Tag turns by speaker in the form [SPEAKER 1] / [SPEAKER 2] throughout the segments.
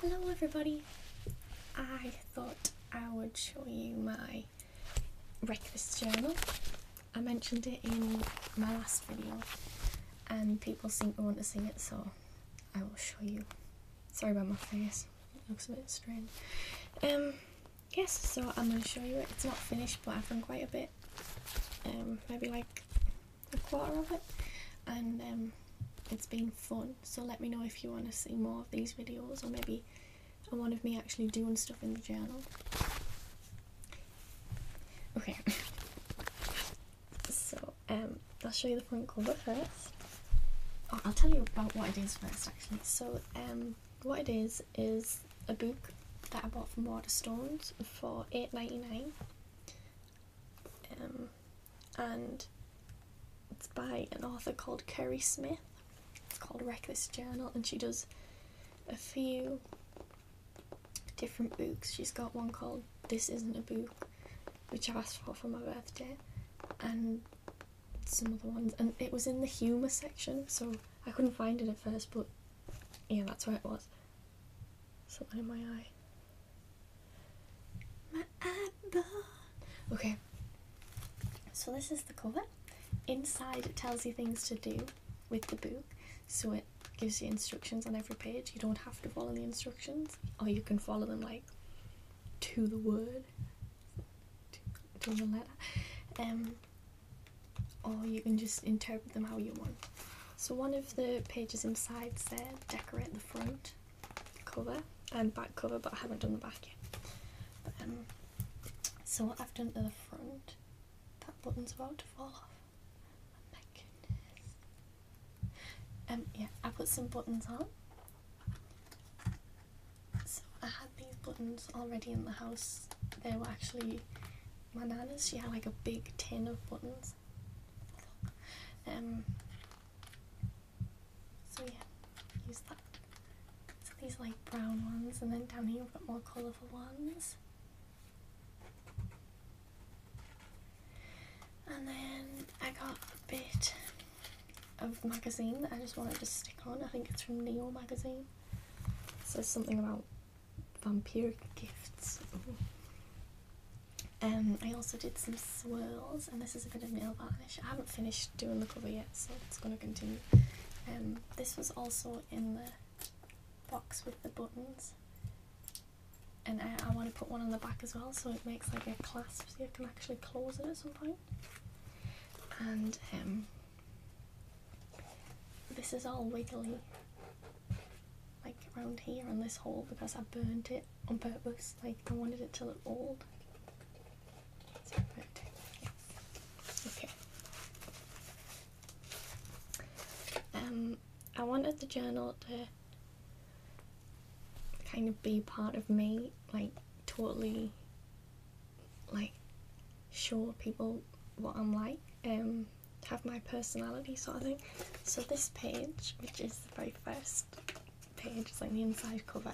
[SPEAKER 1] Hello everybody! I thought I would show you my breakfast journal. I mentioned it in my last video and people seem to want to see it so I will show you. Sorry about my face, it looks a bit strange. Um, yes, so I'm going to show you it. It's not finished but I've done quite a bit. Um, maybe like a quarter of it and um, it's been fun so let me know if you want to see more of these videos or maybe one of me actually doing stuff in the channel. okay so um, I'll show you the front cover first oh, I'll tell you about what it is first actually so um, what it is is a book that I bought from Waterstones for eight ninety nine, um, and it's by an author called Kerry Smith. It's called Reckless Journal, and she does a few different books. She's got one called This Isn't a Book, which I asked for for my birthday, and some other ones. And it was in the humour section, so I couldn't find it at first, but yeah, that's where it was. Something in my eye. Okay. So this is the cover. Inside it tells you things to do with the book. So it gives you instructions on every page. You don't have to follow the instructions, or you can follow them like to the word, to the letter. Um, or you can just interpret them how you want. So one of the pages inside said decorate the front cover and back cover, but I haven't done the back yet. Um, so what I've done to the front, that button's about to fall off. Oh my goodness. Um, yeah, I put some buttons on. So I had these buttons already in the house. They were actually my nana's. She had like a big tin of buttons um, so yeah, use that. these like brown ones, and then down here we've got more colourful ones. And then I got a bit of magazine that I just wanted to stick on. I think it's from Neo magazine. It says something about Vampire gifts. Ooh. Um, I also did some swirls, and this is a bit of nail varnish. I haven't finished doing the cover yet, so it's going to continue. Um, this was also in the box with the buttons, and I, I want to put one on the back as well, so it makes like a clasp, so you can actually close it at some point. And um, this is all wiggly, like around here on this hole because I burnt it on purpose. Like I wanted it to look old. Okay. Um, I wanted the journal to kind of be part of me, like totally, like show people what I'm like. Um, have my personality sort of thing. So this page, which is the very first page, it's like the inside cover,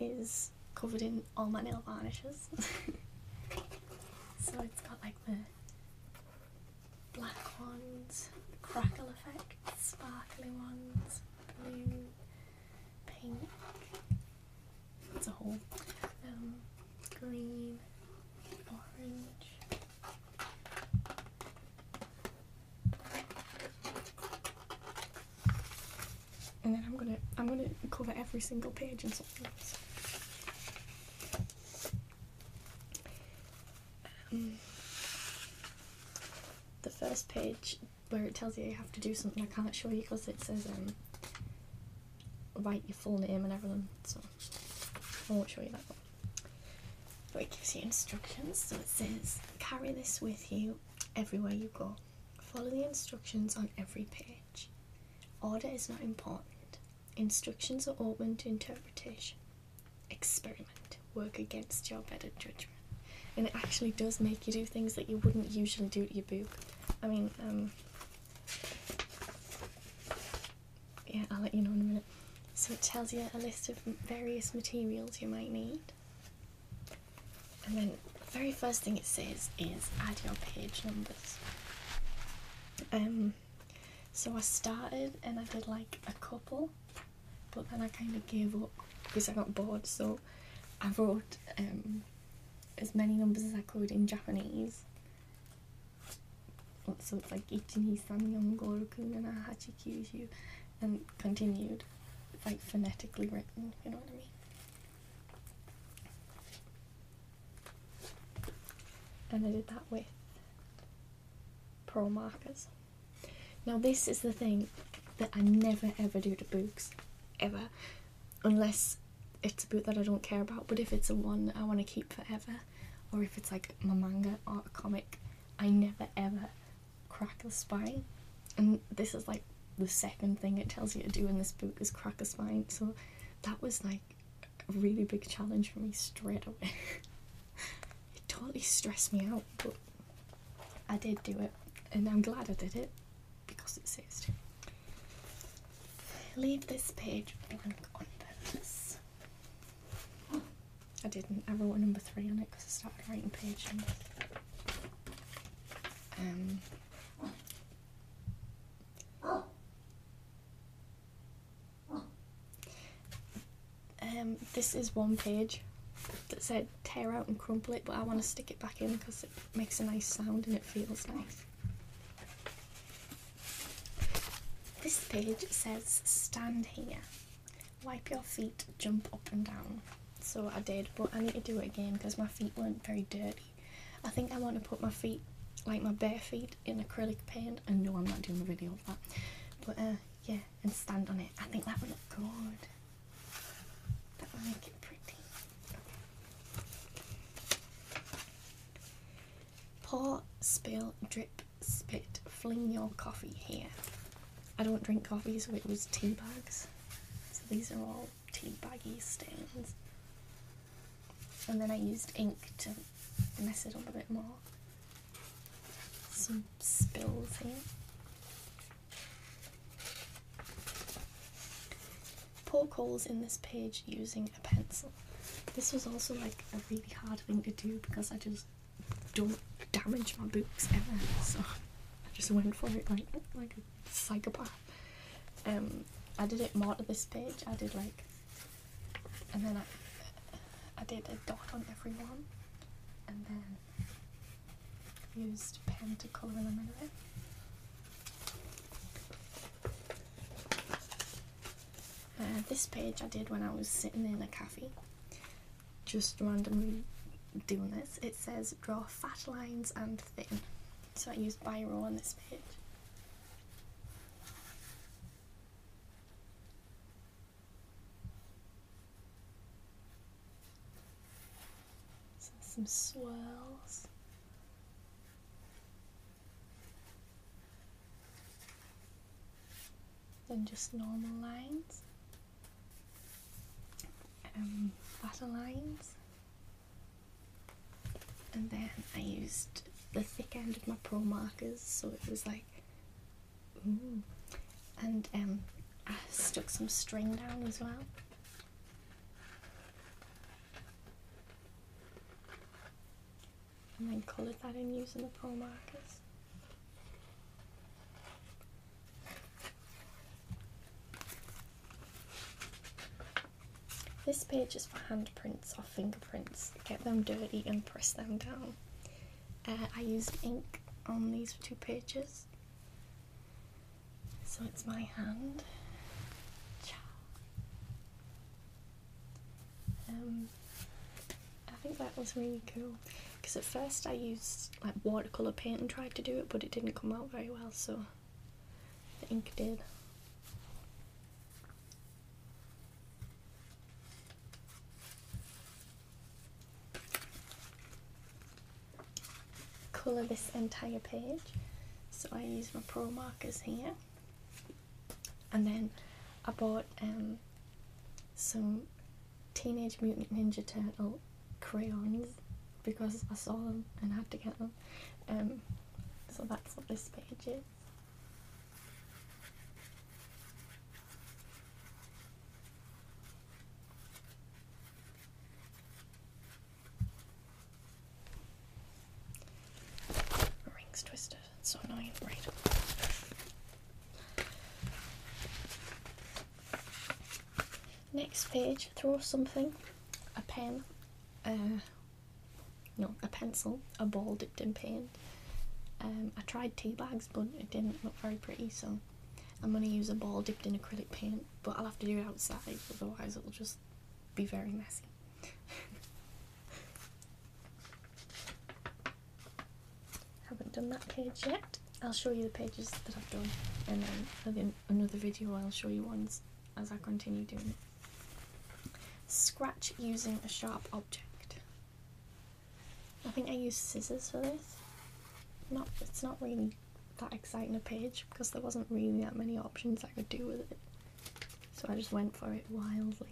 [SPEAKER 1] is covered in all my nail varnishes. so it's got like the black ones, crackle effect, sparkly ones, blue, pink, it's a whole um, green, orange, and then I'm gonna I'm gonna cover every single page and something else. Um, the first page where it tells you you have to do something I can't show you because it says um, write your full name and everything so I won't show you that one. But it gives you instructions. So it says, carry this with you everywhere you go. Follow the instructions on every page. Order is not important. Instructions are open to interpretation. Experiment. Work against your better judgment. And it actually does make you do things that you wouldn't usually do to your book. I mean, um, yeah, I'll let you know in a minute. So it tells you a list of various materials you might need. And then the very first thing it says is add your page numbers. Um, so I started and I did like a couple, but then I kind of gave up because I got bored. So I wrote um, as many numbers as I could in Japanese so it's like 12345678 and and a continued like phonetically written you know what i mean and i did that with pearl markers now this is the thing that i never ever do to books ever unless it's a book that I don't care about. But if it's a one I want to keep forever, or if it's like my manga or comic, I never ever crack the spine. And this is like the second thing it tells you to do in this book is crack the spine. So that was like a really big challenge for me straight away. it totally stressed me out, but I did do it, and I'm glad I did it because it says leave this page blank on purpose. I didn't. I wrote number three on it because I started writing page numbers. Um, um, this is one page that said tear out and crumple it, but I want to stick it back in because makes a nice sound and it feels nice. This page says stand here, wipe your feet, jump up and down. So I did, but I need to do it again because my feet weren't very dirty. I think I want to put my feet, like my bare feet, in acrylic paint. I know I'm not doing a video of that, but uh, yeah, and stand on it. I think that would look good. That would make it pretty. Pour, spill, drip, spit, fling your coffee here. I don't drink coffee, so it was tea bags. So these are all tea baggy stains. And then I used ink to mess it up a bit more. Some spills here. Poke holes in this page using a pencil. This was also like a really hard thing to do because I just don't damage my books ever, so I just went for it like like a psychopath. Um, I did it more to this page. I did like, and then I I did a dot on everyone, and then used pen to colour in the middle uh, this page I did when I was sitting in a cafe, just randomly doing this. It says draw fat lines and thin, so I used Biro on this page some swirls. Then just normal lines. and um, flatter lines. And then I used the thick end of my pro markers, so it was like, And um, I stuck some string down as well. And then colour that in using the pearl markers. This page is for handprints or fingerprints. Get them dirty and press them down. Uh, I used ink on these two pages. So it's my hand. Um, I think that was really cool because at first I used like watercolor paint and tried to do it, but it didn't come out very well. So the ink did colour this entire page. So I use my pro markers here. And then I bought um, some Teenage Mutant Ninja Turtle crayons because I saw them and had to get them. Um, so that's what this page is. Rings twisted. so annoying. Right. Next page. Throw something. A pen. Uh, no, a pencil. A ball dipped in paint. Um, I tried tea bags, but it didn't look very pretty, so I'm going to use a ball dipped in acrylic paint but I'll have to do it outside, otherwise it'll just be very messy. Haven't done that page yet. I'll show you the pages that I've done, and then another video I'll show you ones as I continue doing it. Scratch using a sharp object. I think I use scissors for this. Not, it's not really that exciting a page because there wasn't really that many options I could do with it. So I just went for it wildly.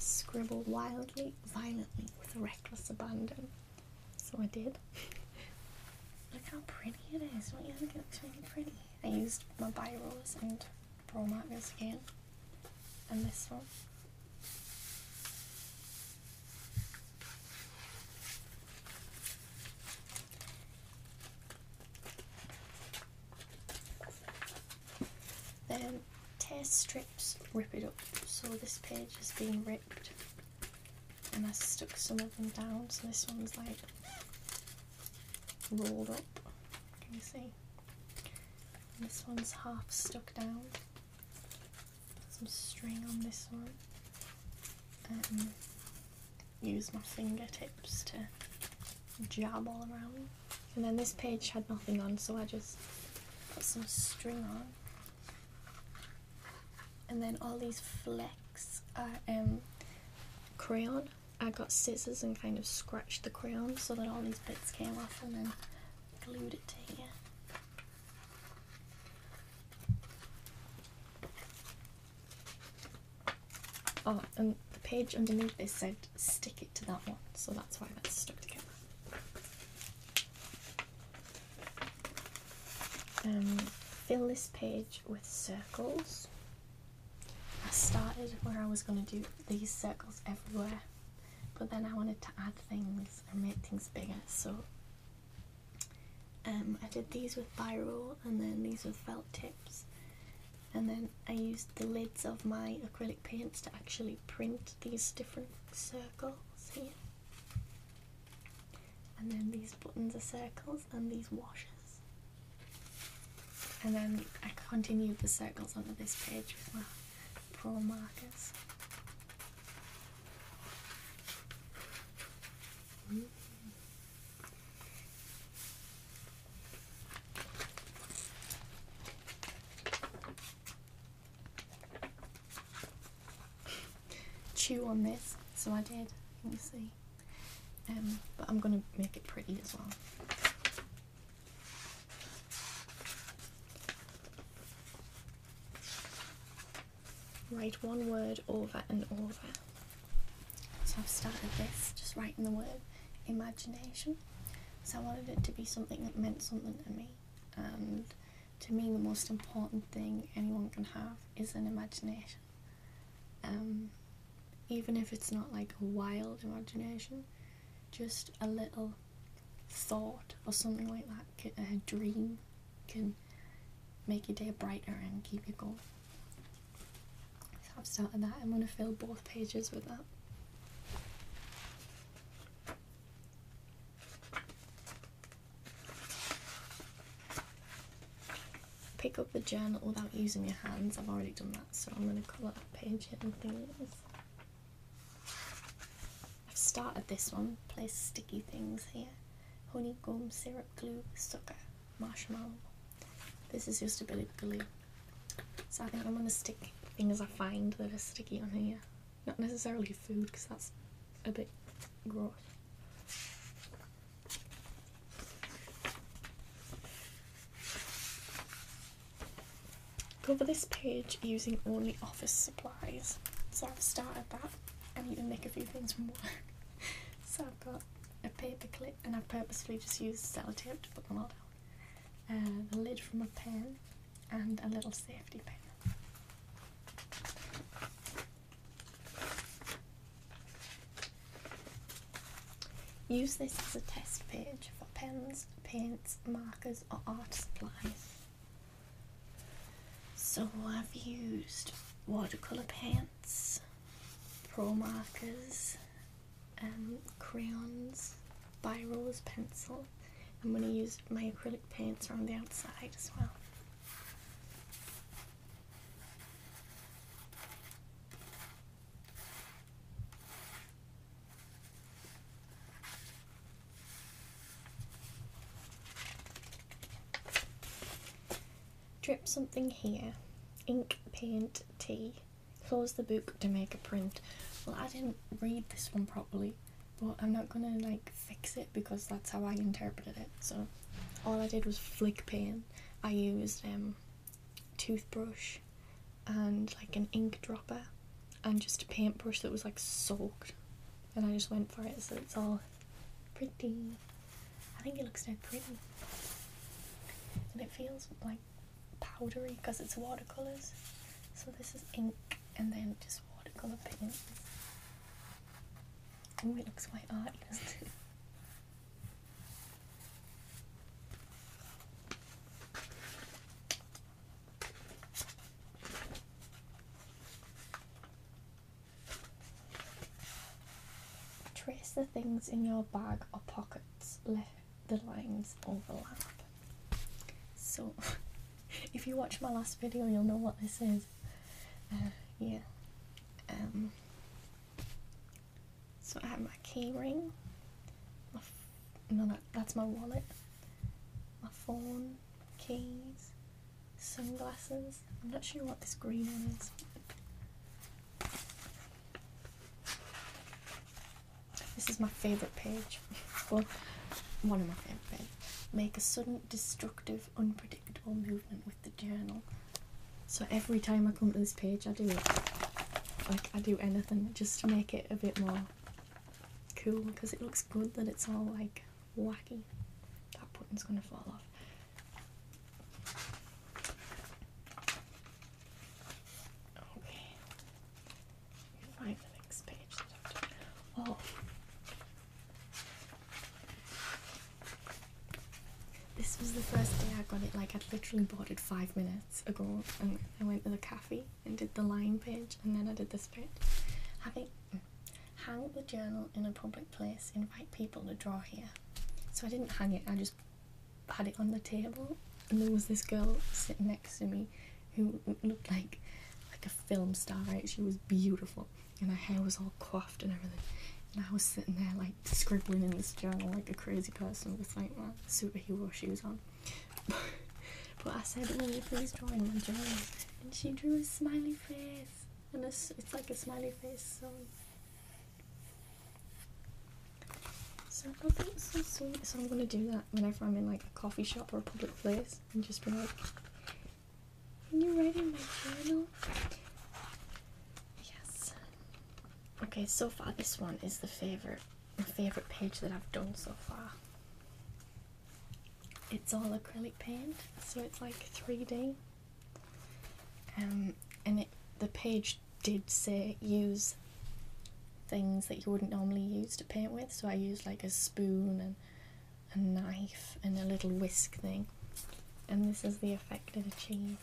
[SPEAKER 1] scribbled wildly, violently, with reckless abandon. So I did. Look how pretty it is. Don't you think it looks really pretty? I used my biros and Pearl markers again, and this one. Then tear strips rip it up. So this page is being ripped and I stuck some of them down so this one's like rolled up. Can you see? this one's half stuck down. Put some string on this one. Um, use my fingertips to jab all around. And then this page had nothing on, so I just put some string on. And then all these flecks are um, crayon I got scissors and kind of scratched the crayon so that all these bits came off and then glued it to here. Oh, and the page underneath this said stick it to that one, so that's why that's stuck together. Um, fill this page with circles. I started where I was going to do these circles everywhere, but then I wanted to add things and make things bigger, so um, I did these with viral and then these with felt tips, and then I used the lids of my acrylic paints to actually print these different circles here. And then these buttons are circles and these washes. And then I continued the circles onto this page with my pearl markers. Chew on this, so I did, Let me see. Um, but I'm going to make it pretty as well. Write one word over and over. So I've started this, just writing the word imagination. So I wanted it to be something that meant something to me. And to me, the most important thing anyone can have is an imagination. Um, even if it's not like a wild imagination, just a little thought or something like that, a dream can make your day brighter and keep you going. So I've started that. I'm going to fill both pages with that pick up the journal without using your hands. I've already done that, so I'm going to colour that page in and things. I've started this one. Place sticky things here. Honeycomb, syrup, glue, sugar, marshmallow. This is just a bit of glue. So I think I'm going to stick things I find that are sticky on here. Not necessarily food, because that's a bit gross. Cover this page using only office supplies. So I've started that. I'm going to make a few things from work. so I've got a paper clip and I've purposefully just used sellotape to put them all down. Uh, the lid from a pen and a little safety pin. Use this as a test page for pens, paints, markers, or art supplies. So I've used watercolour paints, pro markers, um, crayons, biros, pencil. I'm going to use my acrylic paints around the outside as well. Drip something here. Ink, paint, tea. Close the book to make a print. Well, I didn't read this one properly, but I'm not gonna like fix it because that's how I interpreted it. So all I did was flick paint. I used um toothbrush and like an ink dropper and just a paintbrush that was like soaked and I just went for it so it's all pretty. I think it looks so pretty and it feels like powdery because it's watercolours. So this is ink and then just watercolour paint Oh, it looks quite arty, Trace the things in your bag or pockets. Let the lines overlap. So, if you watch my last video, you'll know what this is. Uh, yeah. Um, so I have my key ring, my no, that's my wallet, my phone, keys, sunglasses. I'm not sure what this green one is. This is my favourite page. well, one of my favourite pages. Make a sudden, destructive, unpredictable movement the journal. So every time I come to this page, I do it. Like, I do anything just to make it a bit more cool because it looks good that it's all like wacky. That button's gonna fall off. Okay. Find the next page. Oh. This was the first day I got it, like, i literally bought it five minutes ago, and I went to the cafe and did the line page, and then I did this page. I think hang the journal in a public place, invite people to draw here. So I didn't hang it, I just had it on the table, and there was this girl sitting next to me who looked like like a film star, right? She was beautiful and her hair was all coiffed and everything. And I was sitting there like scribbling in this journal like a crazy person with like my superhero shoes on. but I said, "Will oh, you please draw in my journal?" And she drew a smiley face, and it's, like a smiley face. So, so I So I'm gonna do that whenever I'm in like a coffee shop or a public place, and just be like, when you write in my journal. Yes. Okay, so far this one is the favorite my favorite page that I've done so far. It's all acrylic paint, so it's like 3D. Um, and it, the page did say use things that you wouldn't normally use to paint with, so I used like a spoon and a knife and a little whisk thing, and this is the effect it achieves.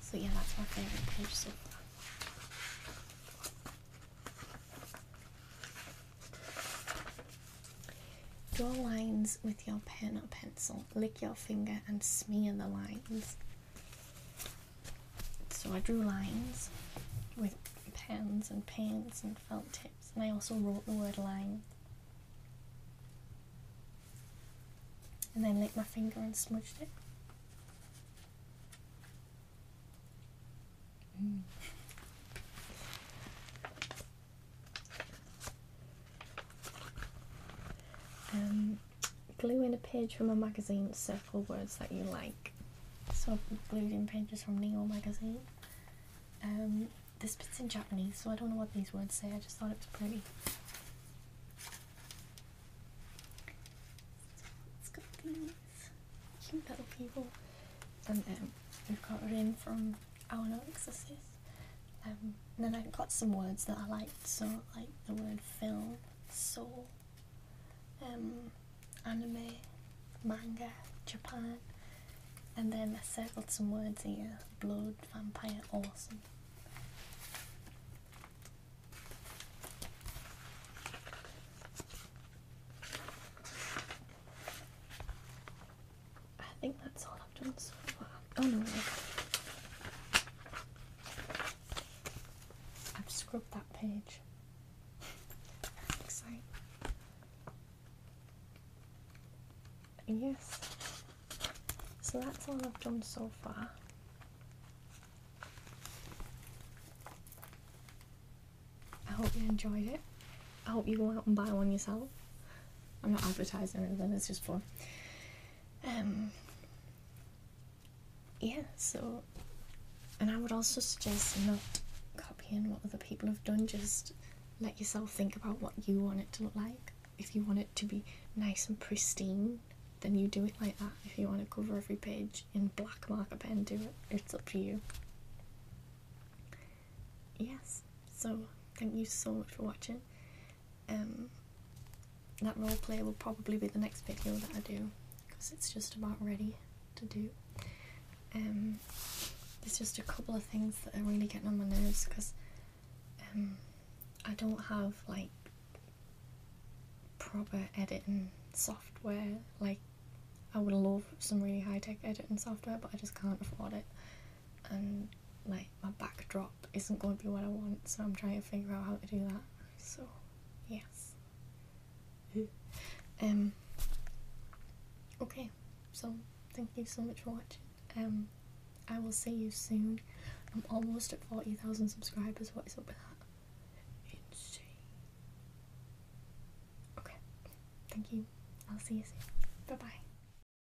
[SPEAKER 1] So yeah, that's my favorite page so far. Draw lines with your pen or pencil. Lick your finger and smear the lines. So I drew lines with pens and paints and felt tips, and I also wrote the word line. And then licked my finger and smudged it. Mm. Um, glue in a page from a magazine, circle words that you like. So I've glued in pages from Neo magazine. Um, this bit's in Japanese, so I don't know what these words say, I just thought it was pretty. So it's got little people. And um, we've got it from Our No um, and then I got some words that I liked, so like the word film, soul, um, anime, manga, Japan, and then I circled some words here: blood, vampire, awesome. I think that's all Lofton's. Oh no, I've scrubbed that page. Yes. So that's all I've done so far. I hope you enjoyed it. I hope you go out and buy one yourself. I'm not advertising anything, it's just for. Um, yeah, so, and I would also suggest not copying what other people have done, just let yourself think about what you want it to look like. If you want it to be nice and pristine, then you do it like that. If you want to cover every page in black marker pen, do it. It's up to you. Yes, so thank you so much for watching. Um, that play will probably be the next video that I do because it's just about ready to do. Um, there's just a couple of things that are really getting on my nerves because um, I don't have like proper editing software. Like I would love some really high tech editing software, but I just can't afford it and like my backdrop isn't going to be what I want, so I'm trying to figure out how to do that. So, yes. um. Okay, so thank you so much for watching. Um, I will see you soon. I'm almost at forty thousand subscribers. What is up with that? Insane. Okay, thank you. I'll see you soon. Bye bye.